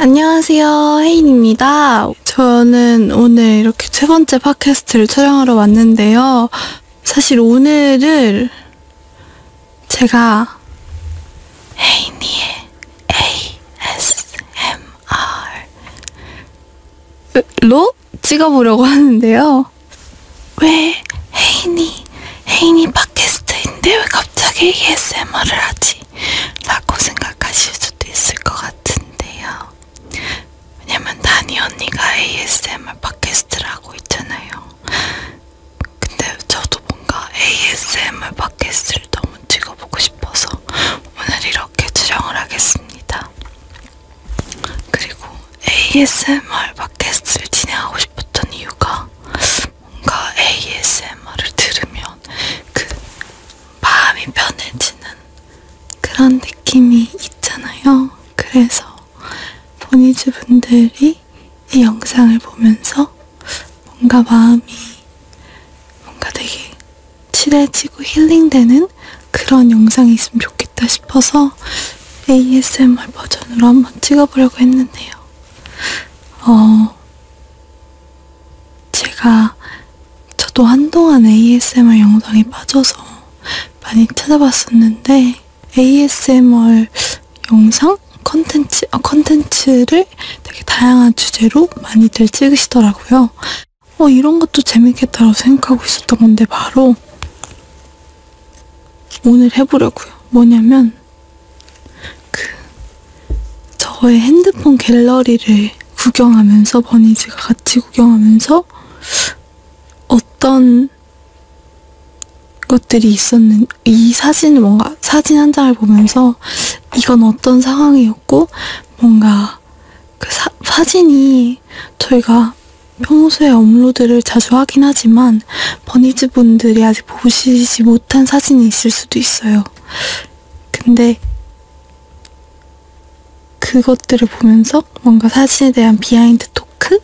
안녕하세요. 혜인입니다. 저는 오늘 이렇게 세 번째 팟캐스트를 촬영하러 왔는데요. 사실 오늘을 제가 혜인이의 ASMR로 찍어보려고 하는데요. 왜 혜인이, 혜인이 팟캐스트인데 왜 갑자기 ASMR을 하지? 라고 생각하실 수도 있을 것 같은데요. 왜냐면 다니 언니가 ASMR 팟캐스트를 하고 있잖아요. 근데 저도 뭔가 ASMR 팟캐스트를 너무 찍어보고 싶어서 오늘 이렇게 촬영을 하겠습니다. 그리고 ASMR 팟캐스트를 진행하고 싶었던 이유가 뭔가 ASMR을 들으면 그 마음이 편해지는 그런 느낌이 있잖아요. 그래서 보니즈 분들이 이 영상을 보면서 뭔가 마음이 뭔가 되게 칠해지고 힐링되는 그런 영상이 있으면 좋겠다 싶어서 ASMR 버전으로 한번 찍어보려고 했는데요. 어, 제가 저도 한동안 ASMR 영상에 빠져서 많이 찾아봤었는데 ASMR 영상 컨텐츠 어, 컨텐츠를 되게 다양한 주제로 많이들 찍으시더라고요. 어 이런 것도 재밌겠다라고 생각하고 있었던 건데 바로 오늘 해보려고요. 뭐냐면 그 저의 핸드폰 갤러리를 구경하면서 버니즈가 같이 구경하면서 어떤 것들이 있었는 이 사진을 뭔가 사진 한 장을 보면서 이건 어떤 상황이었고 뭔가 그 사, 사진이 저희가 평소에 업로드를 자주 하긴 하지만 버니즈 분들이 아직 보시지 못한 사진이 있을 수도 있어요. 근데 그것들을 보면서 뭔가 사진에 대한 비하인드 토크를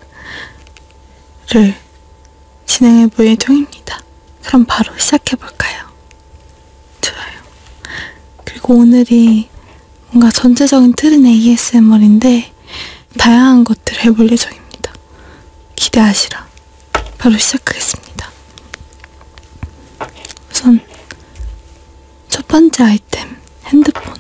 진행해 볼 예정입니다. 그럼 바로 시작해 볼까요? 좋아요. 그리고 오늘이 뭔가 전체적인 틀은 ASMR인데 다양한 것들을 해볼 예정입니다. 기대하시라. 바로 시작하겠습니다. 우선 첫 번째 아이템 핸드폰.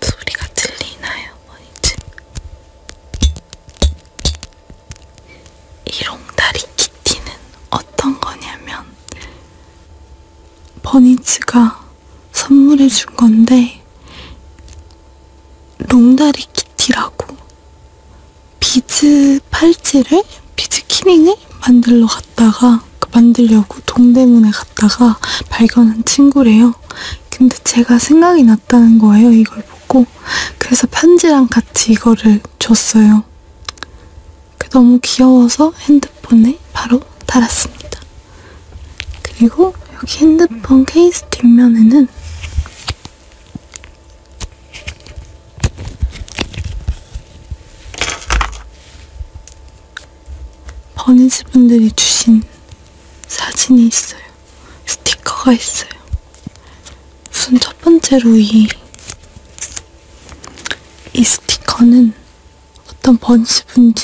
소리가 들리나요? 뭐지? 이롱다리 키티는 어떤 거냐면 버니즈가 선물해 준 건데 롱다리 키티라고 비즈 팔찌를 비즈 키링을 만들러 갔다가 그 만들려고 동대문에 갔다가 발견한 친구래요. 근데 제가 생각이 났다는 거예요. 이걸 보고 그래서 편지랑 같이 이거를 줬어요. 너무 귀여워서 핸드폰에 바로 달았습니다. 그리고 여기 핸드폰 케이스 뒷면에는 버니즈 분들이 주신 사진이 있어요. 스티커가 있어요. 우선 첫 번째로 이이 스티커는 어떤 번지 분이,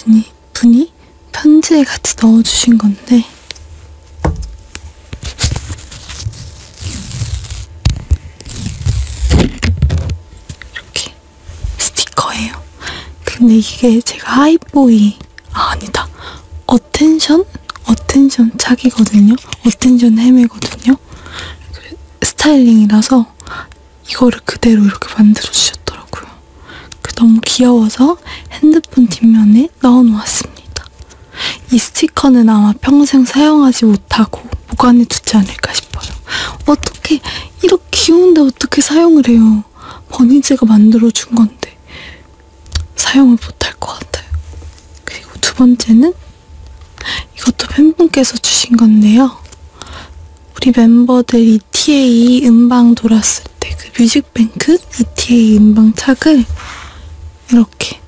분이 편지에 같이 넣어주신 건데, 이렇게 스티커예요. 근데 이게 제가 하이보이, 아, 아니다. 어텐션? 어텐션 착이거든요. 어텐션 헤매거든요. 스타일링이라서 이거를 그대로 이렇게 만들어 주셨더라고요. 너무 귀여워서 핸드폰 뒷면에 넣어놓았습니다. 이 스티커는 아마 평생 사용하지 못하고 보관해 두지 않을까 싶어요. 어떻게 이렇게 귀여운데 어떻게 사용을 해요? 버니즈가 만들어준 건데 사용을 못할 것 같아요. 그리고 두 번째는 이것도 팬분께서 주신 건데요. 우리 멤버들 ETA 음방 돌았을 때 그 뮤직뱅크 ETA 음방 착을 이렇게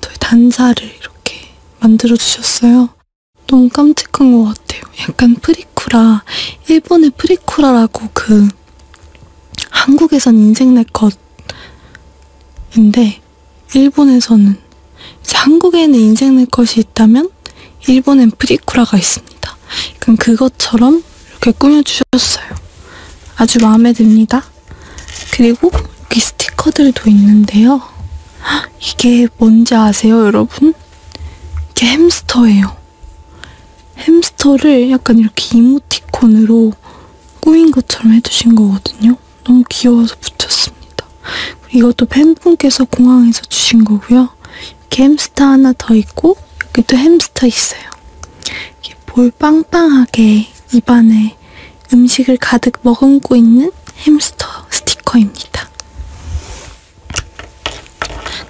저희 단사를 이렇게 만들어 주셨어요. 너무 깜찍한 것 같아요. 약간 프리쿠라, 일본의 프리쿠라라고 그 한국에선 인생네컷인데 일본에서는 이제 한국에는 인생네컷이 있다면 일본엔 프리쿠라가 있습니다. 그럼 그것처럼 이렇게 꾸며주셨어요. 아주 마음에 듭니다. 그리고 여기 스티커들도 있는데요. 이게 뭔지 아세요, 여러분? 이게 햄스터예요. 햄스터를 약간 이렇게 이모티콘으로 꾸민 것처럼 해주신 거거든요. 너무 귀여워서 붙였습니다. 이것도 팬분께서 공항에서 주신 거고요. 이렇게 햄스터 하나 더 있고 여기 또 햄스터 있어요. 이렇게 볼 빵빵하게 입안에 음식을 가득 머금고 있는 햄스터 스티커입니다.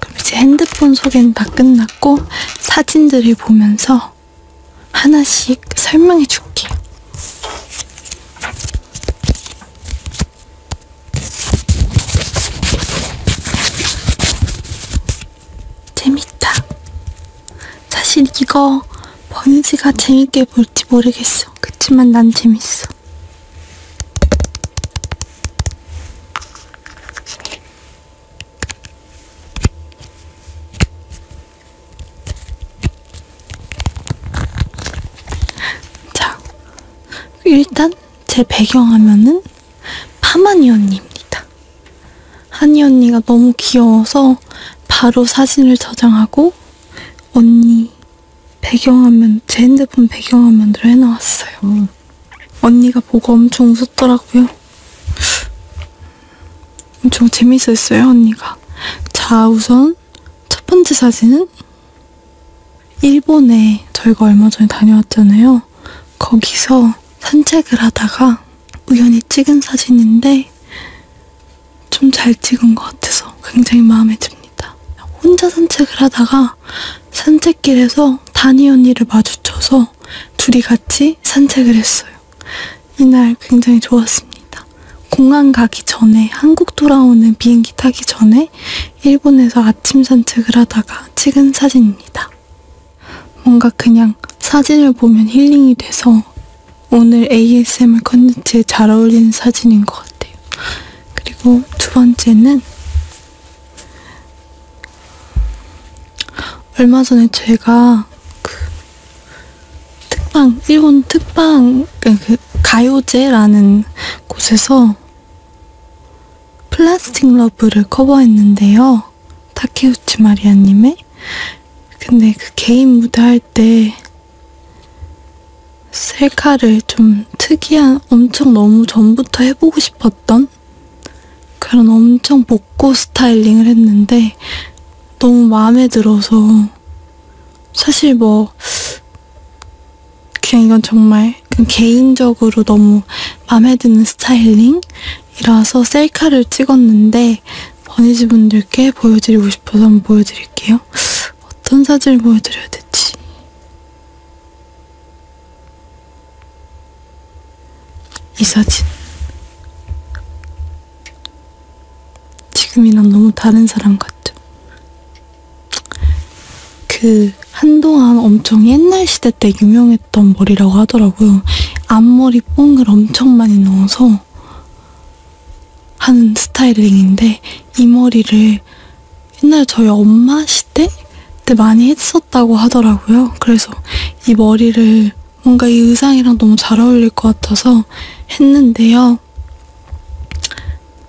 그럼 이제 핸드폰 소개는 다 끝났고 사진들을 보면서 하나씩 설명해 줄게요. 재밌다. 사실 이거 번지가 재밌게 볼지 모르겠어. 그치만 난 재밌어. 자, 일단 제 배경화면은 파마니 언니입니다. 하니 언니가 너무 귀여워서 바로 사진을 저장하고 언니 배경화면, 제 핸드폰 배경화면으로 해놓았어요. 음. 언니가 보고 엄청 웃었더라고요. 엄청 재밌었어요, 언니가. 자, 우선 첫 번째 사진은 일본에 저희가 얼마 전에 다녀왔잖아요. 거기서 산책을 하다가 우연히 찍은 사진인데 좀 잘 찍은 것 같아서 굉장히 마음에 듭니다. 혼자 산책을 하다가 산책길에서 다니 언니를 마주쳐서 둘이 같이 산책을 했어요. 이날 굉장히 좋았습니다. 공항 가기 전에 한국 돌아오는 비행기 타기 전에 일본에서 아침 산책을 하다가 찍은 사진입니다. 뭔가 그냥 사진을 보면 힐링이 돼서 오늘 ASMR 컨텐츠에 잘 어울리는 사진인 것 같아요. 그리고 두 번째는 얼마 전에 제가 그 특방, 일본 특방, 그, 그, 가요제라는 곳에서 플라스틱 러브를 커버했는데요. 타케우치 마리아님의. 근데 그 개인 무대 할 때 셀카를 좀 특이한, 엄청 너무 전부터 해보고 싶었던 그런 엄청 복고 스타일링을 했는데 너무 마음에 들어서 사실 뭐 그냥 이건 정말 그냥 개인적으로 너무 마음에 드는 스타일링이라서 셀카를 찍었는데 버니즈 분들께 보여드리고 싶어서 한번 보여드릴게요. 어떤 사진을 보여드려야 되지? 이 사진. 지금이랑 너무 다른 사람 같죠? 그 한동안 엄청 옛날 시대 때 유명했던 머리라고 하더라고요. 앞머리 뽕을 엄청 많이 넣어서 하는 스타일링인데 이 머리를 옛날에 저희 엄마 시대 때 많이 했었다고 하더라고요. 그래서 이 머리를 뭔가 이 의상이랑 너무 잘 어울릴 것 같아서 했는데요.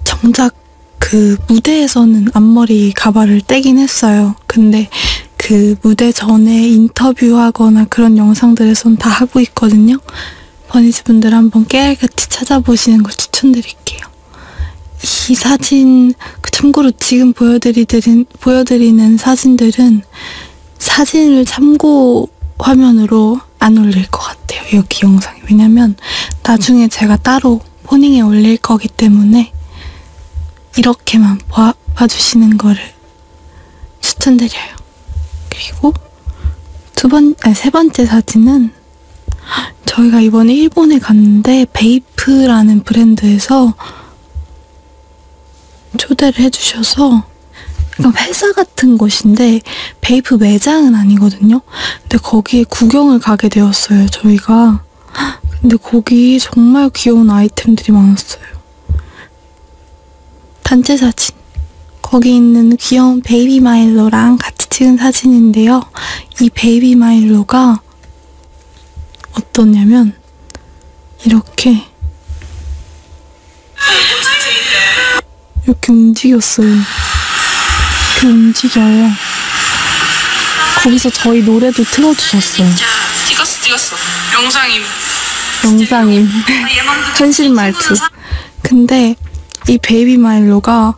정작 그 무대에서는 앞머리 가발을 떼긴 했어요. 근데 그 무대 전에 인터뷰하거나 그런 영상들에선 다 하고 있거든요. 버니즈 분들 한번 깨알같이 찾아보시는 걸 추천드릴게요. 이 사진, 그 참고로 지금 보여드리는, 보여드리는 사진들은 사진을 참고 또 화면으로 안 올릴 것 같아요. 여기 영상이. 왜냐면 나중에 음. 제가 따로 포닝에 올릴 거기 때문에 이렇게만 봐, 봐주시는 거를 추천드려요. 그리고 두 번, 아니 세 번째 사진은 저희가 이번에 일본에 갔는데 베이프라는 브랜드에서 초대를 해주셔서 약간 회사 같은 곳인데 베이프 매장은 아니거든요. 근데 거기에 구경을 가게 되었어요. 저희가. 근데 거기 정말 귀여운 아이템들이 많았어요. 단체 사진. 거기 있는 귀여운 베이비 마일로랑 같이 찍은 사진인데요. 이 베이비 마일로가 어떠냐면 이렇게 이렇게 움직였어요. 이렇게 움직여요. 거기서 저희 노래도 틀어주셨어요. 찍었어, 찍었어. 영상임. 영상임. 현실 말투. 근데 이 베이비 마일로가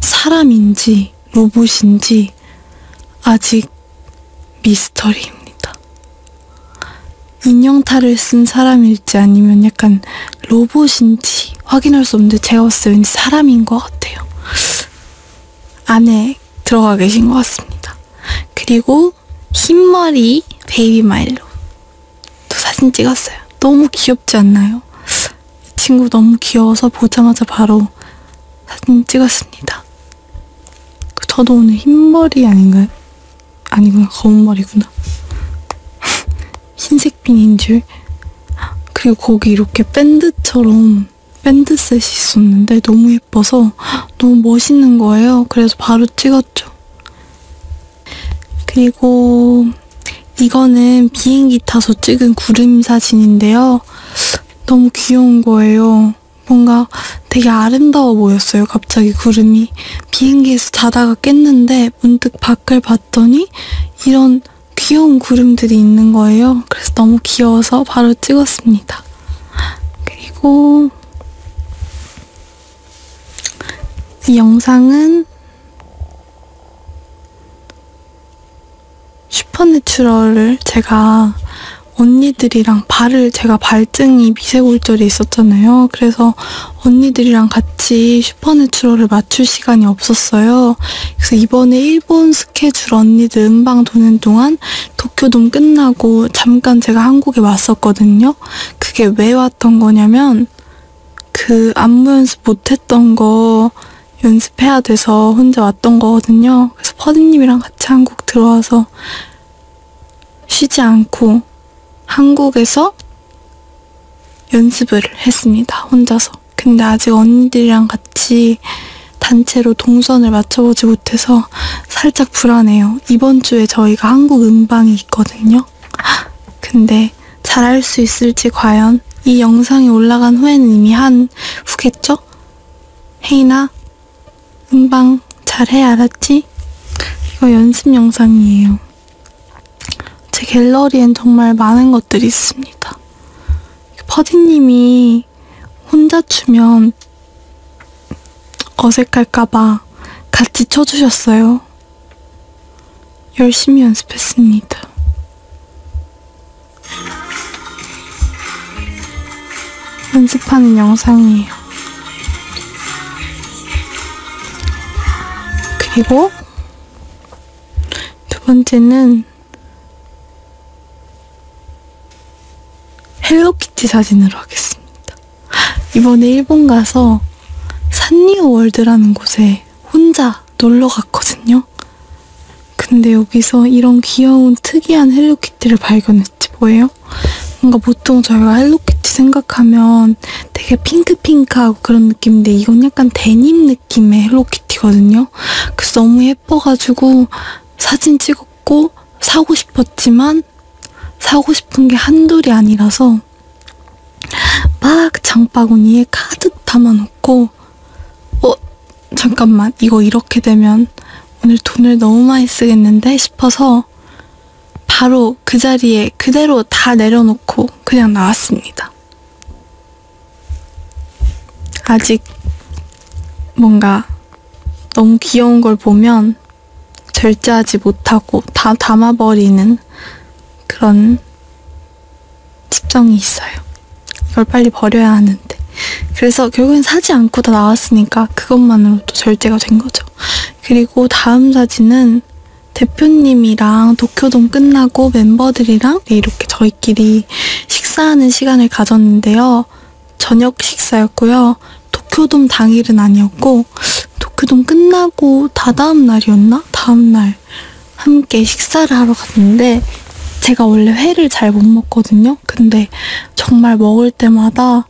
사람인지 로봇인지 아직 미스터리입니다. 인형탈을 쓴 사람일지 아니면 약간 로봇인지 확인할 수 없는데 제가 봤을 때 왠지 사람인 것 같아요. 안에 들어가 계신 것 같습니다. 그리고 흰머리 베이비 마일로 또 사진 찍었어요. 너무 귀엽지 않나요? 이 친구 너무 귀여워서 보자마자 바로 사진 찍었습니다. 저도 오늘 흰머리 아닌가요? 아니구나 검은 머리구나 흰색 핀인 줄 그리고 거기 이렇게 밴드처럼 밴드셋이 있었는데 너무 예뻐서 너무 멋있는 거예요 그래서 바로 찍었죠 그리고 이거는 비행기 타서 찍은 구름 사진인데요 너무 귀여운 거예요 같아요. 뭔가 되게 아름다워 보였어요. 갑자기 구름이. 비행기에서 자다가 깼는데 문득 밖을 봤더니 이런 귀여운 구름들이 있는 거예요. 그래서 너무 귀여워서 바로 찍었습니다. 그리고 이 영상은 슈퍼내추럴을 제가 언니들이랑 발을 제가 발등이 미세골절이 있었잖아요. 그래서 언니들이랑 같이 슈퍼내추럴을 맞출 시간이 없었어요. 그래서 이번에 일본 스케줄 언니들 음방 도는 동안 도쿄돔 끝나고 잠깐 제가 한국에 왔었거든요. 그게 왜 왔던 거냐면 그 안무 연습 못했던 거 연습해야 돼서 혼자 왔던 거거든요. 그래서 퍼디님이랑 같이 한국 들어와서 쉬지 않고 한국에서 연습을 했습니다. 혼자서. 근데 아직 언니들이랑 같이 단체로 동선을 맞춰보지 못해서 살짝 불안해요. 이번 주에 저희가 한국 음방이 있거든요. 근데 잘할 수 있을지 과연 이 영상이 올라간 후에는 이미 한 후겠죠? 헤이나 음방 잘해 알았지? 이거 연습 영상이에요. 제 갤러리엔 정말 많은 것들이 있습니다. 퍼디님이 혼자 추면 어색할까봐 같이 쳐주셨어요. 열심히 연습했습니다. 연습하는 영상이에요. 그리고 두 번째는 헬로키티 사진으로 하겠습니다. 이번에 일본 가서 산리오월드라는 곳에 혼자 놀러 갔거든요. 근데 여기서 이런 귀여운 특이한 헬로키티를 발견했지 뭐예요? 뭔가 보통 저희가 헬로키티 생각하면 되게 핑크핑크하고 그런 느낌인데 이건 약간 데님 느낌의 헬로키티거든요. 그래서 너무 예뻐가지고 사진 찍었고 사고 싶었지만 사고 싶은 게 한둘이 아니라서 막 장바구니에 가득 담아놓고 어? 잠깐만 이거 이렇게 되면 오늘 돈을 너무 많이 쓰겠는데 싶어서 바로 그 자리에 그대로 다 내려놓고 그냥 나왔습니다. 아직 뭔가 너무 귀여운 걸 보면 절제하지 못하고 다 담아버리는 그런 습성이 있어요. 이걸 빨리 버려야 하는데. 그래서 결국엔 사지 않고 다 나왔으니까 그것만으로도 절제가 된 거죠. 있죠. 그리고 다음 사진은 대표님이랑 도쿄돔 끝나고 멤버들이랑 네, 이렇게 저희끼리 식사하는 시간을 가졌는데요. 저녁 식사였고요. 도쿄돔 당일은 아니었고 도쿄돔 끝나고 다다음 날이었나? 다음 날 함께 식사를 하러 갔는데 제가 원래 회를 잘 못 먹거든요. 근데 정말 먹을 때마다 보니까 어,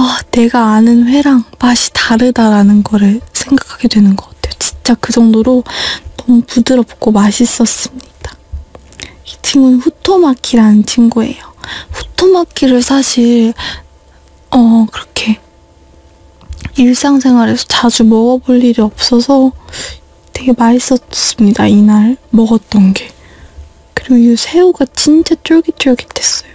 아, 내가 아는 회랑 맛이 다르다라는 거를 생각하게 되는 것 같아요. 진짜 그 정도로 너무 부드럽고 맛있었습니다. 이 친구는 후토마키라는 친구예요. 후토마키를 사실 어 그렇게 일상생활에서 자주 먹어볼 일이 없어서 되게 맛있었습니다. 이날 먹었던 게 그리고 이 새우가 진짜 쫄깃쫄깃했어요.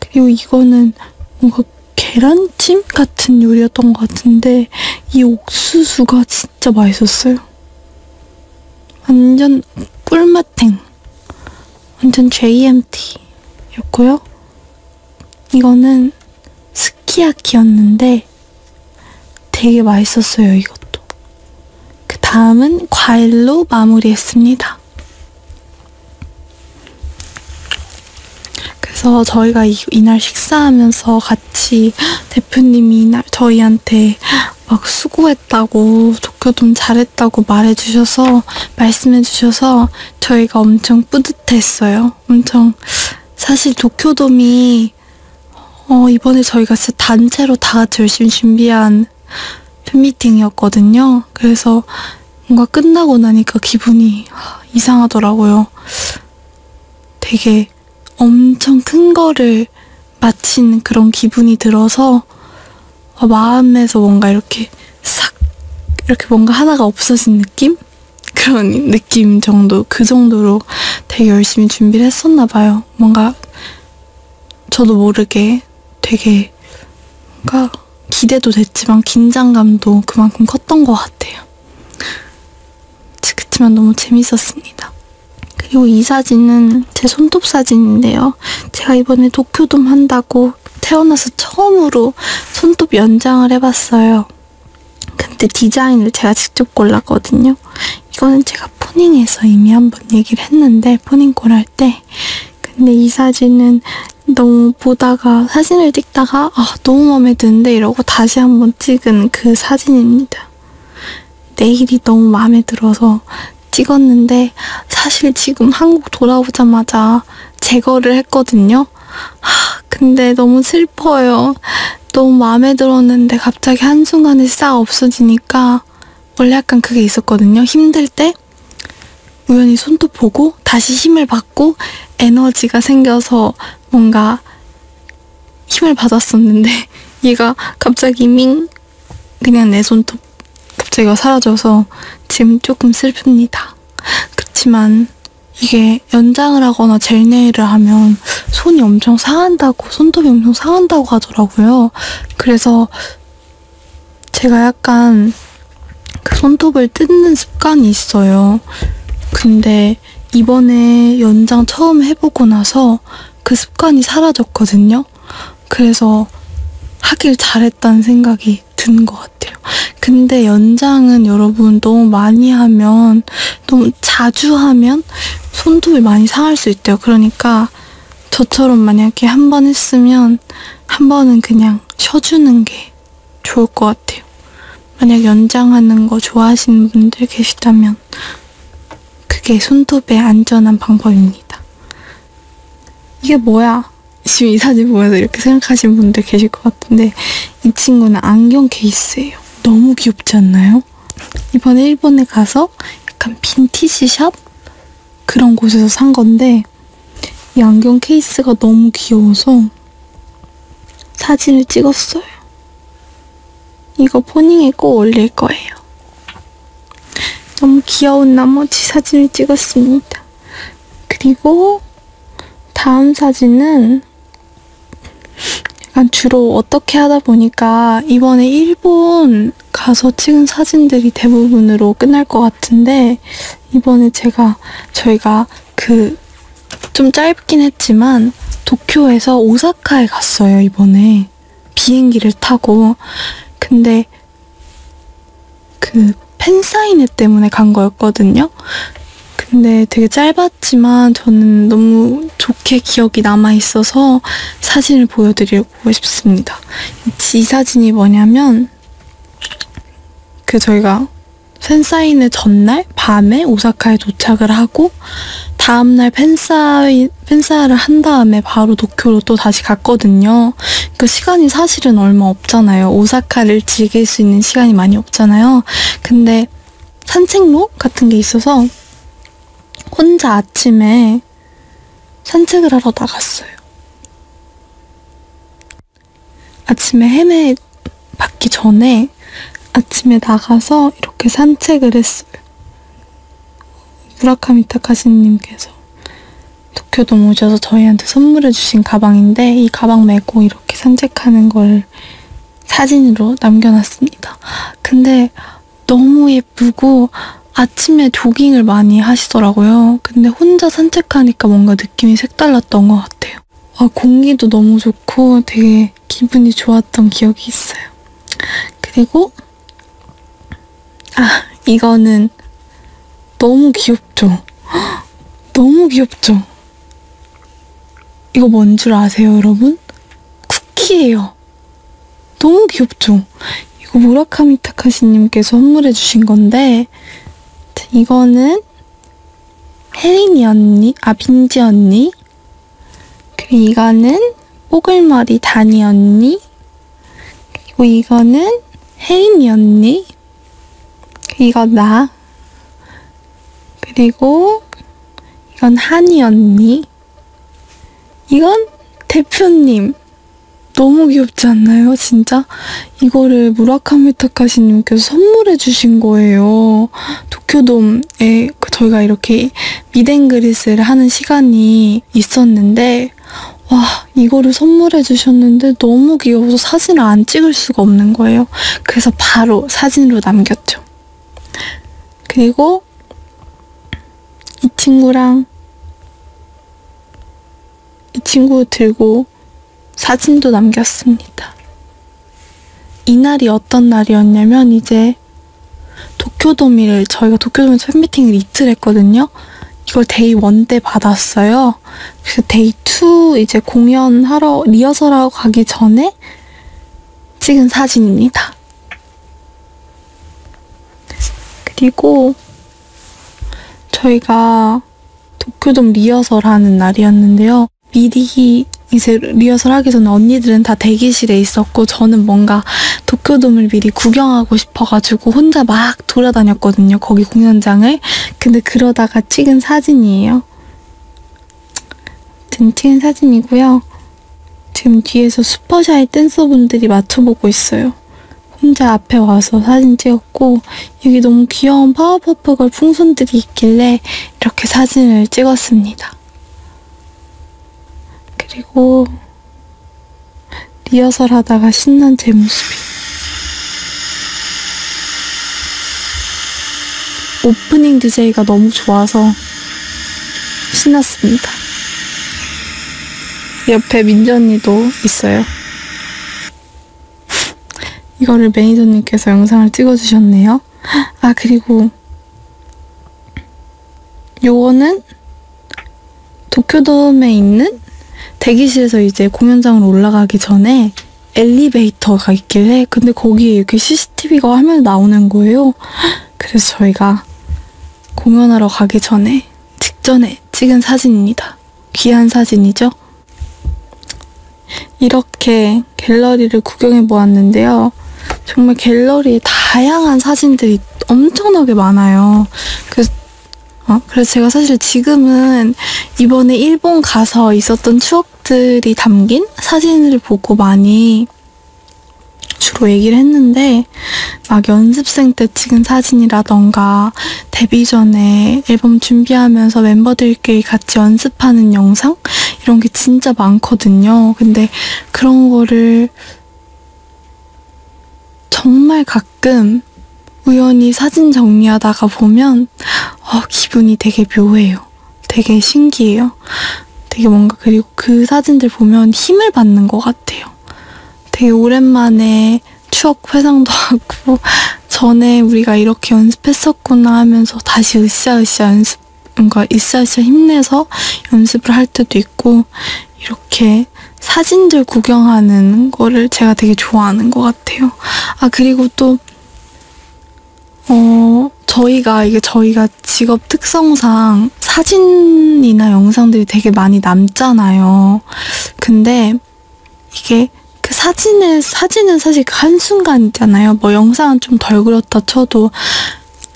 그리고 이거는 뭔가 계란찜 같은 요리였던 것 같은데 이 옥수수가 진짜 맛있었어요. 완전 꿀맛탱. 완전 JMT였고요. 이거는 스키야키였는데 되게 맛있었어요, 이것도. 그 다음은 과일로 마무리했습니다. 그래서 저희가 이, 이날 식사하면서 같이 대표님이 이날 저희한테 막 수고했다고 도쿄돔 잘했다고 말해주셔서 말씀해주셔서 저희가 엄청 뿌듯했어요. 엄청 사실 도쿄돔이 어, 이번에 저희가 진짜 단체로 다 같이 열심히 준비한 팬미팅이었거든요. 그래서 뭔가 끝나고 나니까 기분이 이상하더라고요. 되게 엄청 큰 거를 마친 그런 기분이 들어서 어, 마음에서 뭔가 이렇게 싹 이렇게 뭔가 하나가 없어진 느낌? 그런 느낌 정도, 그 정도로 되게 열심히 준비를 했었나 봐요. 뭔가 저도 모르게 되게 뭔가 기대도 됐지만 긴장감도 그만큼 컸던 것 같아요. 그치만 너무 재밌었습니다. 그리고 이 사진은 제 손톱 사진인데요. 제가 이번에 도쿄돔 한다고 태어나서 처음으로 손톱 연장을 해봤어요. 근데 디자인을 제가 직접 골랐거든요. 이거는 제가 포닝에서 이미 한 번 얘기를 했는데 포닝 골할때 근데 이 사진은 너무 보다가 사진을 찍다가 아, 너무 마음에 드는데 이러고 다시 한번 찍은 그 사진입니다. 내일이 너무 마음에 들어서 찍었는데 사실 지금 한국 돌아오자마자 제거를 했거든요. 하, 근데 너무 슬퍼요. 너무 마음에 들었는데 갑자기 한순간에 싹 없어지니까 있어요. 원래 약간 그게 있었거든요. 힘들 때 우연히 손톱 보고 다시 힘을 받고 에너지가 생겨서 뭔가 힘을 받았었는데 얘가 갑자기 밍 그냥 내 손톱 갑자기 사라져서 지금 조금 슬픕니다. 그렇지만 이게 연장을 하거나 젤네일을 하면 손이 엄청 상한다고 손톱이 엄청 상한다고 하더라고요. 그래서 제가 약간 그 손톱을 뜯는 습관이 있어요. 근데 이번에 연장 처음 해보고 나서 그 습관이 사라졌거든요. 그래서 하길 잘했다는 생각이 드는 것 같아요. 근데 연장은 여러분 너무 많이 하면, 너무 자주 하면 손톱이 많이 상할 수 있대요. 그러니까 저처럼 만약에 한 번 했으면 한 번은 그냥 쉬어주는 게 좋을 것 같아요. 만약 연장하는 거 좋아하시는 분들 계시다면 그게 손톱의 안전한 방법입니다. 이게 뭐야? 지금 이 사진 보면서 이렇게 생각하시는 분들 계실 것 같은데 이 친구는 안경 케이스예요. 너무 귀엽지 않나요? 이번에 일본에 가서 약간 빈티지 샵? 그런 곳에서 산 건데 이 안경 케이스가 너무 귀여워서 사진을 찍었어요. 이거 포닝에 꼭 올릴 거예요. 너무 귀여운 나머지 사진을 찍었습니다. 그리고 다음 사진은 약간 주로 어떻게 하다 보니까 이번에 일본 그냥 가서 찍은 사진들이 대부분으로 끝날 것 같은데 이번에 제가 저희가 그 좀 짧긴 했지만 도쿄에서 오사카에 갔어요 이번에 비행기를 타고 근데 그 팬사인회 때문에 간 거였거든요 근데 되게 짧았지만 저는 너무 좋게 기억이 남아있어서 사진을 보여드리려고 보고 싶습니다. 지 사진이 뭐냐면 그 저희가 팬사인회 전날 밤에 오사카에 도착을 하고 다음날 팬사인, 팬사를 한 다음에 바로 도쿄로 또 다시 갔거든요. 그 시간이 사실은 얼마 없잖아요. 오사카를 즐길 수 있는 시간이 많이 없잖아요. 근데 산책로 같은 게 있어서 혼자 아침에 산책을 하러 나갔어요. 아침에 헤매 받기 전에 아침에 나가서 이렇게 산책을 했어요. 무라카미 타카시님께서 도쿄돔 오셔서 저희한테 선물해주신 가방인데 이 가방 메고 이렇게 산책하는 걸 사진으로 남겨놨습니다. 근데 너무 예쁘고 아침에 조깅을 많이 하시더라고요. 근데 혼자 산책하니까 뭔가 느낌이 색달랐던 것 같아요. 아, 공기도 너무 좋고 되게 기분이 좋았던 기억이 있어요. 그리고 아, 이거는 너무 귀엽죠? 너무 귀엽죠? 이거 뭔 줄 아세요, 여러분? 쿠키예요. 너무 귀엽죠? 이거 무라카미 타카시님께서 선물해주신 건데, 이거는 혜린이 언니, 아, 빈지 언니, 그리고 이거는 뽀글머리 다니 언니, 그리고 이거는 혜린이 언니, 이거 나, 그리고 이건 한이 언니, 이건 대표님. 너무 귀엽지 않나요? 진짜? 이거를 무라카미 타카시님께서 선물해 주신 거예요. 도쿄돔에 그 저희가 이렇게 미댕그리스를 하는 시간이 있었는데 와 이거를 선물해 주셨는데 너무 귀여워서 사진을 안 찍을 수가 없는 거예요. 그래서 바로 사진으로 남겼죠. 그리고 그리고 이 친구랑 이 친구 들고 사진도 남겼습니다. 이날이 어떤 날이었냐면 이제 도쿄도미를 저희가 도쿄도미 팬미팅을 이틀 했거든요. 이걸 데이 1 때 받았어요. 그래서 데이 2 이제 공연하러 리허설하고 가기 전에 찍은 사진입니다. 그리고 저희가 도쿄돔 리허설 하는 날이었는데요. 미리 이제 리허설 하기 전에 언니들은 다 대기실에 있었고 저는 뭔가 도쿄돔을 미리 구경하고 싶어가지고 혼자 막 돌아다녔거든요. 거기 공연장을. 근데 그러다가 찍은 사진이에요. 찍은 사진이고요. 지금 뒤에서 슈퍼샤이 댄서분들이 맞춰보고 있어요. 혼자 앞에 와서 사진 찍었고 여기 너무 귀여운 파워퍼프걸 풍선들이 있길래 이렇게 사진을 찍었습니다. 그리고 리허설 하다가 신난 제 모습이 오프닝 DJ가 너무 좋아서 신났습니다. 옆에 민지 언니도 있어요. 이거를 매니저님께서 영상을 찍어주셨네요. 아 그리고 요거는 도쿄돔에 있는 대기실에서 이제 공연장으로 올라가기 전에 엘리베이터가 있길래 근데 거기에 이렇게 CCTV가 화면에 나오는 거예요. 그래서 저희가 공연하러 가기 전에 직전에 찍은 사진입니다. 귀한 사진이죠? 이렇게 갤러리를 구경해 보았는데요. 정말 갤러리에 다양한 사진들이 엄청나게 많아요. 그래서, 어? 그래서 제가 사실 지금은 이번에 일본 가서 있었던 추억들이 담긴 사진을 보고 많이 주로 얘기를 했는데 막 연습생 때 찍은 사진이라던가 데뷔 전에 앨범 준비하면서 멤버들끼리 같이 연습하는 영상 이런 게 진짜 많거든요. 근데 그런 거를 정말 가끔 우연히 사진 정리하다가 보면 어, 기분이 되게 묘해요. 되게 신기해요. 되게 뭔가 그리고 그 사진들 보면 힘을 받는 것 같아요. 같아요. 되게 오랜만에 추억 회상도 하고 전에 우리가 이렇게 연습했었구나 하면서 다시 으쌰으쌰 연습 뭔가 으쌰으쌰 힘내서 연습을 할 때도 있고 이렇게 사진들 구경하는 거를 제가 되게 좋아하는 것 같아요. 아 그리고 또 어, 저희가 이게 저희가 제가 직업 특성상 사진이나 영상들이 되게 많이 남잖아요. 근데 이게 그 사진의, 사진은 사실 그 한순간이잖아요. 뭐 영상은 좀 덜 그렇다 쳐도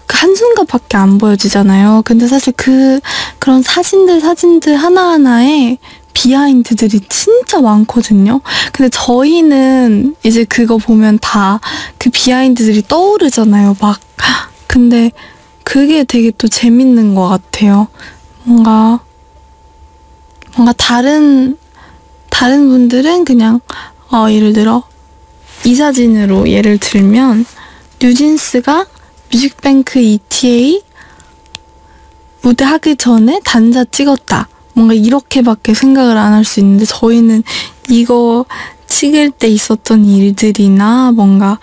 그 한순간밖에 안 보여지잖아요. 근데 사실 그, 그런 사진들, 사진들 하나하나에 비하인드들이 진짜 많거든요. 근데 저희는 이제 그거 보면 다 그 비하인드들이 떠오르잖아요. 막 근데 그게 되게 또 재밌는 것 같아요. 뭔가, 뭔가 다른, 다른 분들은 그냥, 어, 예를 들어, 이 사진으로 예를 들면, 뉴진스가 뮤직뱅크 ETA 무대 하기 전에 단자 찍었다. 뭔가 이렇게밖에 생각을 안 할 수 있는데 저희는 이거 찍을 때 있었던 일들이나 뭔가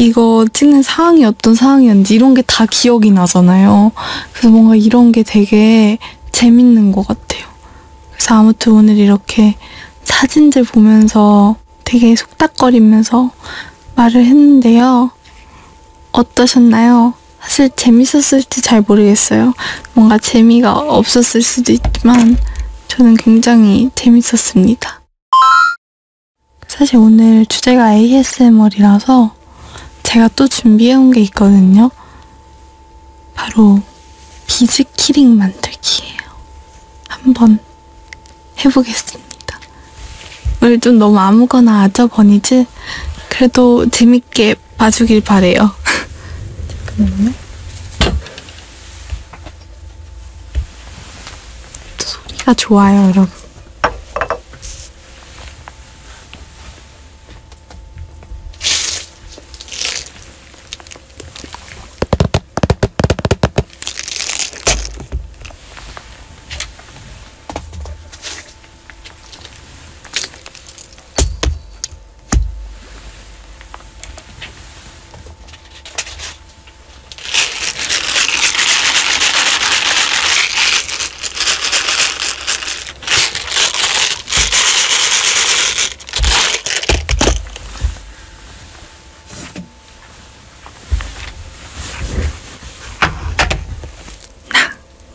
이거 찍는 상황이 어떤 상황이었는지 이런 게 다 기억이 나잖아요. 그래서 뭔가 이런 게 되게 재밌는 것 같아요. 그래서 아무튼 오늘 이렇게 사진들 보면서 되게 속닥거리면서 말을 했는데요. 어떠셨나요? 사실 재밌었을지 잘 모르겠어요. 뭔가 재미가 없었을 수도 있지만 저는 굉장히 재밌었습니다. 사실 오늘 주제가 ASMR이라서 제가 또 준비해온 게 있거든요. 바로 비즈키링 만들기예요. 한번 해보겠습니다. 오늘 좀 너무 아무거나 아저번이지 그래도 재밌게 봐주길 바래요. 잠깐만요. 소리가 좋아요, 여러분.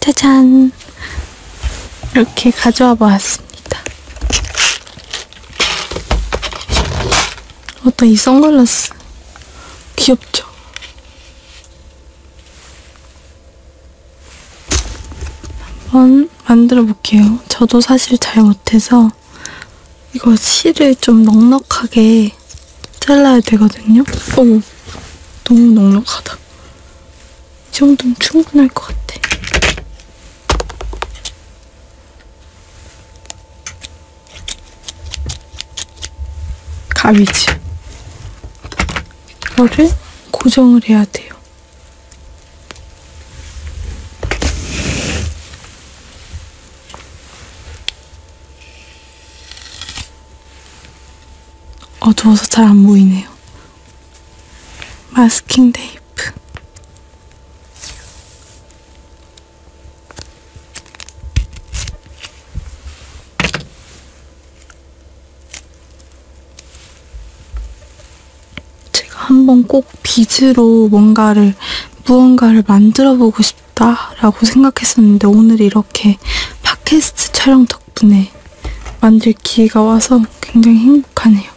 짜잔 이렇게 가져와 보았습니다. 어따 이 선글라스 귀엽죠? 한번 만들어 볼게요. 저도 사실 잘 못해서 이거 실을 좀 넉넉하게 잘라야 되거든요. 오, 너무 넉넉하다. 이 정도면 충분할 것 같아. 가위지. 이거를 고정을 해야 돼요. 어두워서 잘 안 보이네요. 마스킹 테이프. 제가 한번 꼭 빚으로 뭔가를 무언가를 만들어 보고 싶다라고 생각했었는데 오늘 이렇게 팟캐스트 촬영 덕분에 만들 기회가 와서 굉장히 행복하네요.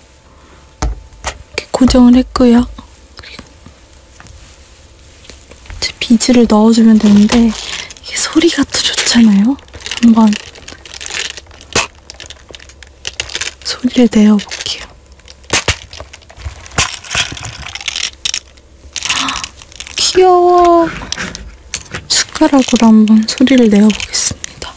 이렇게 고정을 했고요. 이제 비즈를 넣어주면 되는데 이게 소리가 또 좋잖아요. 한번 소리를 내어볼게요. 귀여워. 숟가락으로 한번 소리를 내어보겠습니다.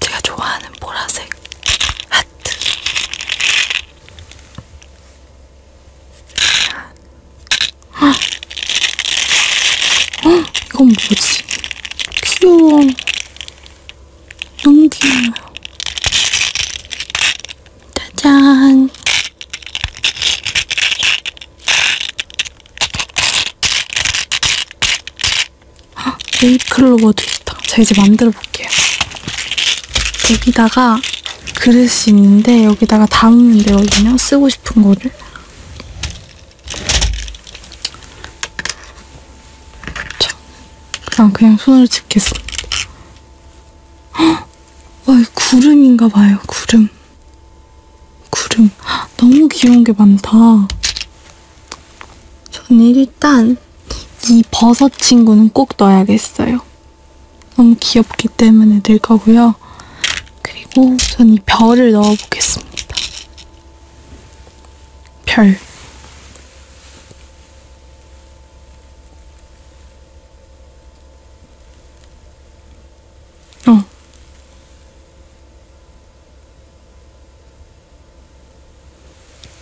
제가 좋아하는 보라색 하트. 어, 어? 이건 뭐지? 귀여워. 너무 귀여워요. 짜잔. 네잎클로버도 있다. 제가 이제 만들어 볼게요. 여기다가 그릇이 있는데 여기다가 담으면 되거든요. 쓰고 싶은 거를. 자, 그냥, 그냥 손으로 집겠습니다. 헉! 와, 이 구름인가 봐요, 구름. 구름. 너무 귀여운 게 많다. 저는 일단 이 버섯 친구는 꼭 넣어야겠어요. 너무 귀엽기 때문에 넣을 거고요. 그리고 전이 별을 넣어보겠습니다. 별. 어.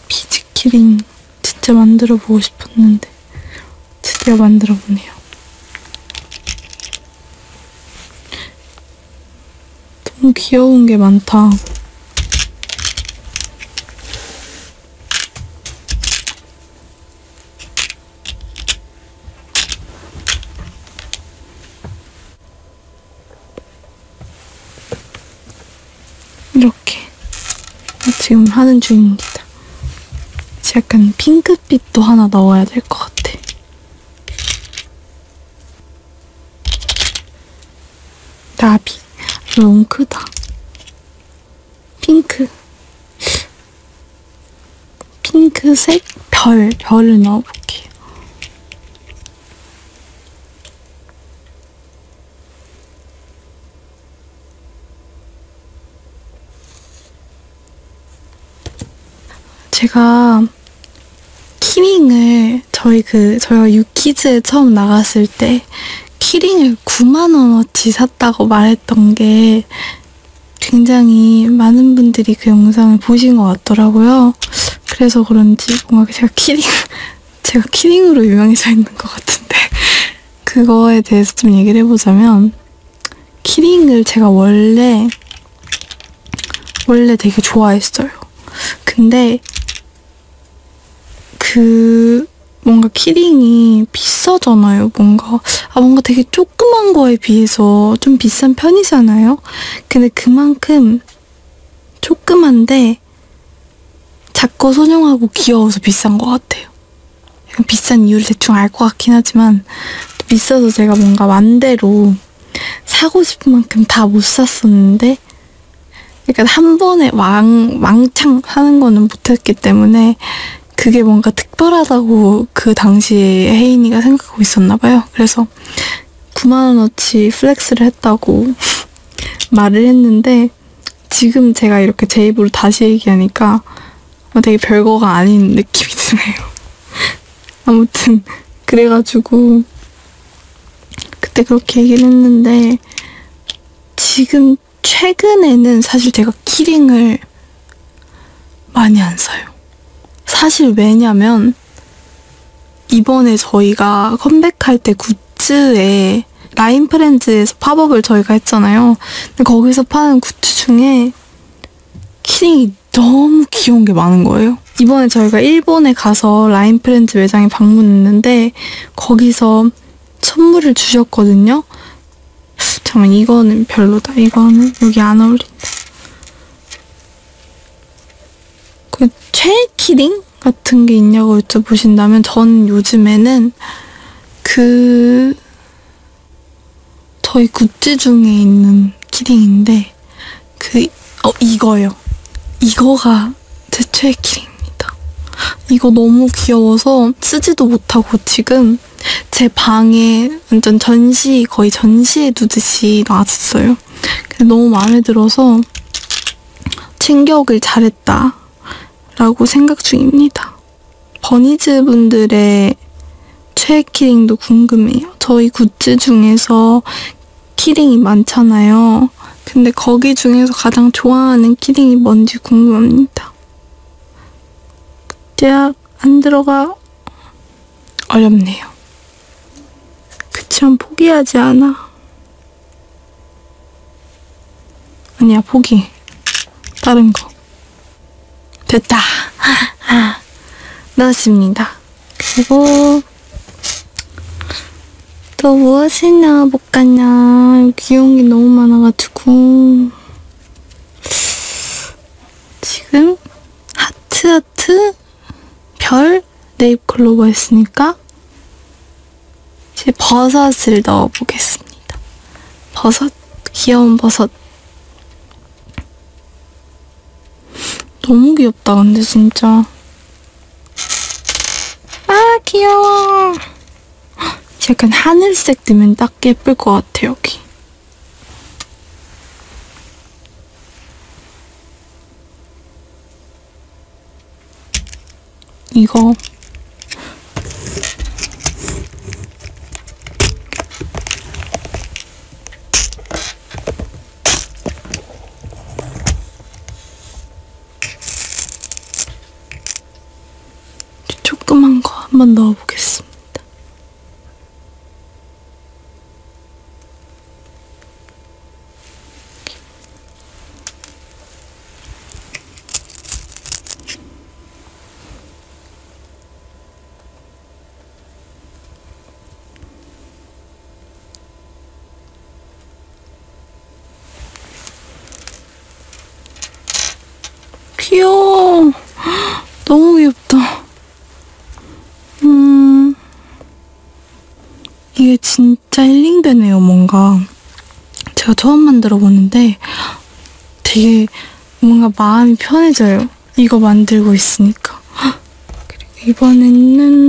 피즈키링 진짜 만들어 보고 싶었는데 드디어 만들어 보네요. 너무 귀여운 게 많다. 이렇게 지금 하는 중입니다. 약간 핑크빛도 하나 넣어야 될 것 같아. 나비. 너무 크다. 핑크. 핑크색 별, 별을 넣어볼게요. 제가 키링을 저희 그 저희가 유키즈에 처음 나갔을 때 키링을 9만 원어치 샀다고 말했던 게 굉장히 많은 분들이 그 영상을 보신 것 같더라고요. 그래서 그런지 뭔가 제가 키링, 제가 키링으로 유명해져 있는 것 같은데 그거에 대해서 좀 얘기를 해보자면 키링을 제가 원래 원래 되게 좋아했어요. 근데 그 뭔가 키링이 비싸잖아요. 뭔가 아 뭔가 되게 조그만 거에 비해서 좀 비싼 편이잖아요. 근데 그만큼 조그만데 작고 소중하고 귀여워서 비싼 것 같아요. 약간 비싼 이유를 대충 알 것 같긴 하지만 비싸서 제가 뭔가 맘대로 사고 싶은 만큼 다 못 샀었는데 그러니까 한 번에 왕, 왕창 사는 거는 못했기 때문에 그게 뭔가 특별하다고 그 당시에 혜인이가 생각하고 있었나 봐요. 그래서 9만원어치 플렉스를 했다고 말을 했는데 지금 제가 이렇게 제 입으로 다시 얘기하니까 어, 되게 별거가 아닌 느낌이 드네요. 아무튼 그래가지고 그때 그렇게 얘기를 했는데 지금 하지만 최근에는 사실 제가 키링을 많이 안 사요. 사실 왜냐면 이번에 저희가 컴백할 때 굿즈에 라인 프렌즈에서 팝업을 저희가 했잖아요. 근데 거기서 파는 굿즈 중에 키링이 너무 귀여운 게 많은 거예요. 이번에 저희가 일본에 가서 라인 프렌즈 매장에 방문했는데 거기서 선물을 주셨거든요. 잠깐만 이거는 별로다. 이거는 여기 안 어울린다. 그 최애 키링 같은 게 있냐고 여쭤보신다면 전 요즘에는 그 저희 굿즈 중에 있는 키링인데 그 어 이거요. 이거가 제 최애 키링입니다. 이거 너무 귀여워서 쓰지도 못하고 지금 좀제 방에 완전 전시, 거의 전시에 두듯이 나왔어요. 너무 마음에 들어서 충격을 잘했다. 라고 생각 중입니다. 버니즈 분들의 최애 키링도 궁금해요. 저희 굿즈 중에서 키링이 많잖아요. 근데 거기 중에서 가장 좋아하는 키링이 뭔지 궁금합니다. 대학 안 들어가 어렵네요. 그치만 포기하지 않아. 아니야 포기. 다른 거. 됐다. 넣었습니다. 그리고 또 무엇이나 볼까냐. 귀여운 게 너무 많아가지고. 지금 하트하트 별 네잎클로버 했으니까 이제 버섯을 넣어보겠습니다. 버섯, 귀여운 버섯. 너무 귀엽다, 근데 진짜. 아, 귀여워. 약간 하늘색 뜨면 딱딱 예쁠 것 같아, 여기. 이거 조그만 거 한번 넣어보겠습니다. 귀여워. 너무 귀엽다. 음. 이게 진짜 힐링되네요, 뭔가. 제가 처음 만들어 보는데 되게 뭔가 마음이 편해져요. 이거 만들고 있으니까. 그리고 이번에는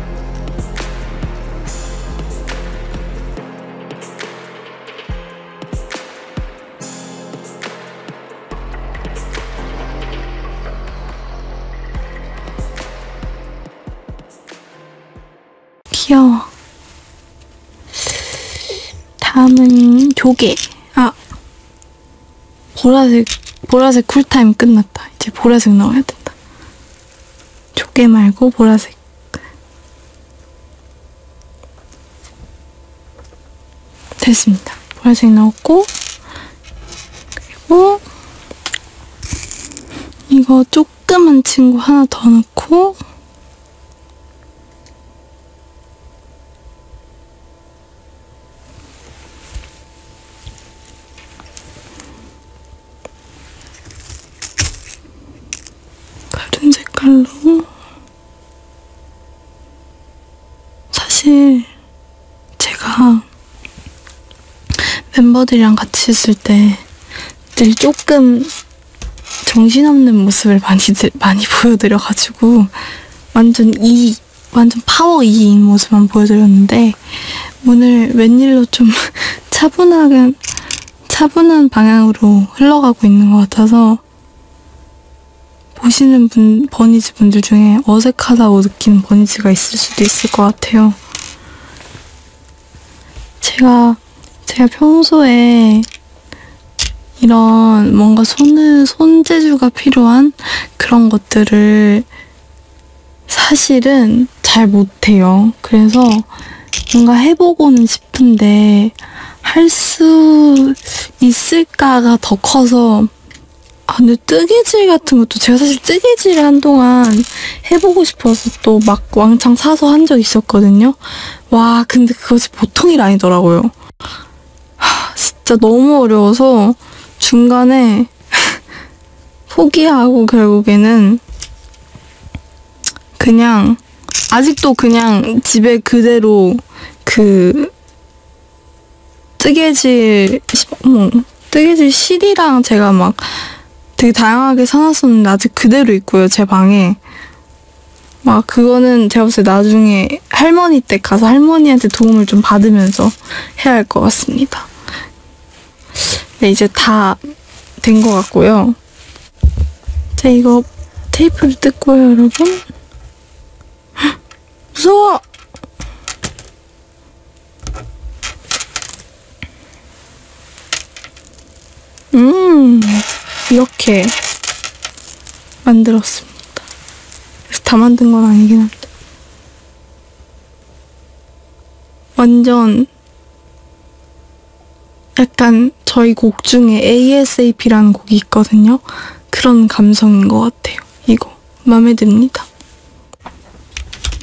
귀여워. 다음은 조개. 아, 보라색, 보라색 쿨타임 끝났다. 이제 보라색 나와야 된다. 조개 말고 보라색. 됐습니다. 보라색 넣었고, 그리고 이거 조그만 친구 하나 더 넣고, 다른 색깔로 사실 제가 멤버들이랑 같이 있을 때 늘 조금 정신없는 모습을 많이 많이 보여드려가지고 완전 이 완전 파워 2인 모습만 보여드렸는데 오늘 웬일로 좀 차분한, 차분한 방향으로 흘러가고 있는 것 같아서 보시는 분, 버니즈 분들 중에 어색하다고 느끼는 버니즈가 있을 수도 있을 것 같아요. 제가, 제가 평소에 이런 뭔가 손은, 손재주가 필요한 그런 것들을 사실은 잘 못해요. 그래서 뭔가 해보고는 싶은데 할 수 있을까가 더 커서 아 근데 뜨개질 같은 것도 제가 사실 뜨개질을 한동안 해보고 싶어서 또 막 왕창 사서 한 적 있었거든요. 와 근데 그것이 보통 일 아니더라고요. 하, 진짜 너무 어려워서 중간에 포기하고 결국에는 그냥 아직도 그냥 집에 그대로 그 뜨개질 뭐 뜨개질 실이랑 제가 막 되게 다양하게 사놨었는데 아직 그대로 있고요 제 방에 막 그거는 제가 봤을 때 나중에 할머니 댁 가서 할머니한테 도움을 좀 받으면서 해야 할 것 같습니다. 네, 이제 다 된 것 같고요. 자, 이거 테이프를 뜯고요, 여러분. 헉, 무서워! 음, 이렇게 만들었습니다. 그래서 다 만든 건 아니긴 한데. 완전 보면은 약간 저희 곡 중에 ASAP라는 곡이 있거든요. 그런 감성인 것 같아요. 이거 마음에 듭니다.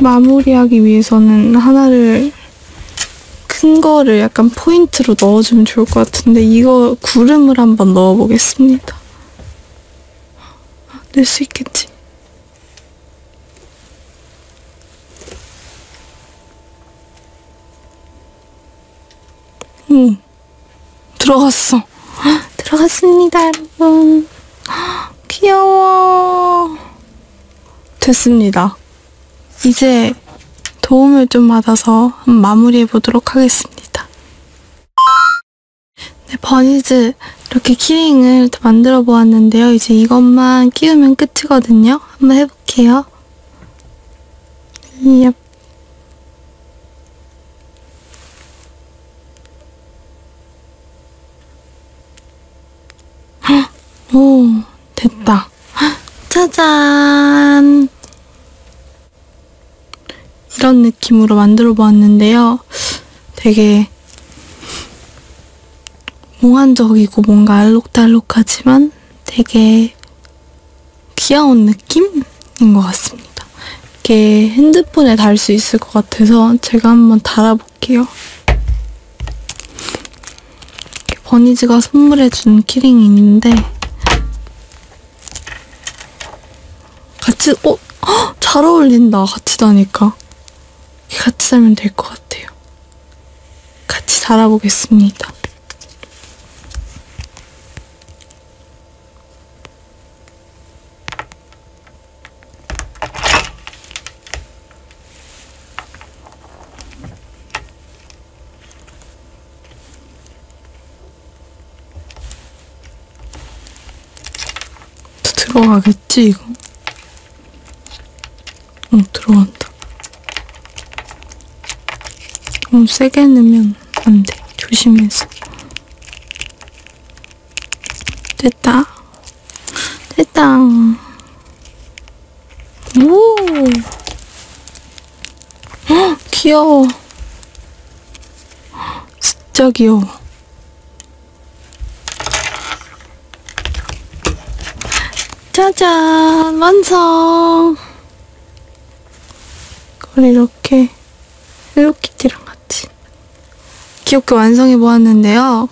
마무리하기 위해서는 하나를 큰 거를 약간 포인트로 넣어주면 좋을 것 같은데 이거 구름을 한번 넣어보겠습니다. 넣을 아, 수 있겠지? 오, 들어갔어. 헉, 들어갔습니다, 여러분. 헉, 귀여워. 됐습니다. 이제 도움을 좀 받아서 마무리해 보도록 하겠습니다. 네, 버니즈 이렇게 키링을 만들어 보았는데요. 이제 이것만 끼우면 끝이거든요. 한번 해볼게요. 얍. 헉, 오, 됐다. 헉, 짜잔! 이런 느낌으로 만들어 보았는데요. 되게 몽환적이고 뭔가 알록달록하지만 되게 귀여운 느낌인 것 같습니다. 이렇게 핸드폰에 달 수 있을 것 같아서 제가 한번 달아볼게요. 버니즈가 선물해준 키링이 있는데 같이, 어? 헉, 잘 어울린다. 같이 다니까. 같이 살면 될 것 같아요. 같이 살아보겠습니다. 들어가겠 됐지 이거? 어 들어간다. 너무 세게 넣으면 안 돼. 조심해서. 됐다. 됐다. 오! 헉, 귀여워. 진짜 귀여워. 짜잔 완성 이걸 이렇게 헬로키티랑 같이 귀엽게 완성해 보았는데요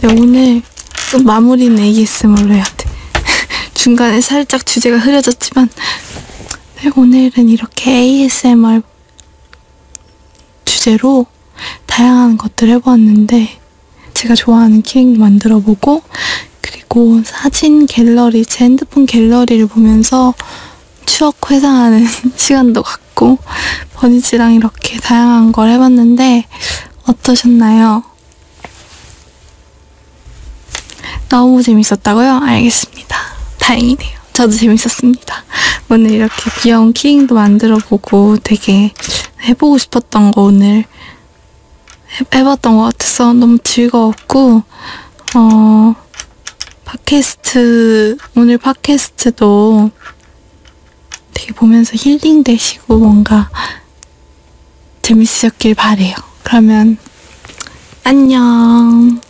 네, 오늘 좀 마무리는 ASMR로 해야 돼 중간에 살짝 주제가 흐려졌지만 네, 오늘은 이렇게 ASMR 주제로 다양한 것들을 해보았는데 제가 좋아하는 키링도 만들어보고 그리고 사진 갤러리, 제 핸드폰 갤러리를 보면서 추억 회상하는 시간도 갖고 버니지랑 이렇게 다양한 걸 해봤는데 어떠셨나요? 너무 재밌었다고요? 알겠습니다. 다행이네요. 저도 재밌었습니다. 오늘 이렇게 귀여운 키링도 만들어보고 되게 해보고 싶었던 거 오늘 해, 해봤던 것 같아서 너무 즐거웠고 어 팟캐스트 오늘 팟캐스트도 되게 보면서 힐링 되시고 뭔가 재밌으셨길 바래요. 그러면 안녕.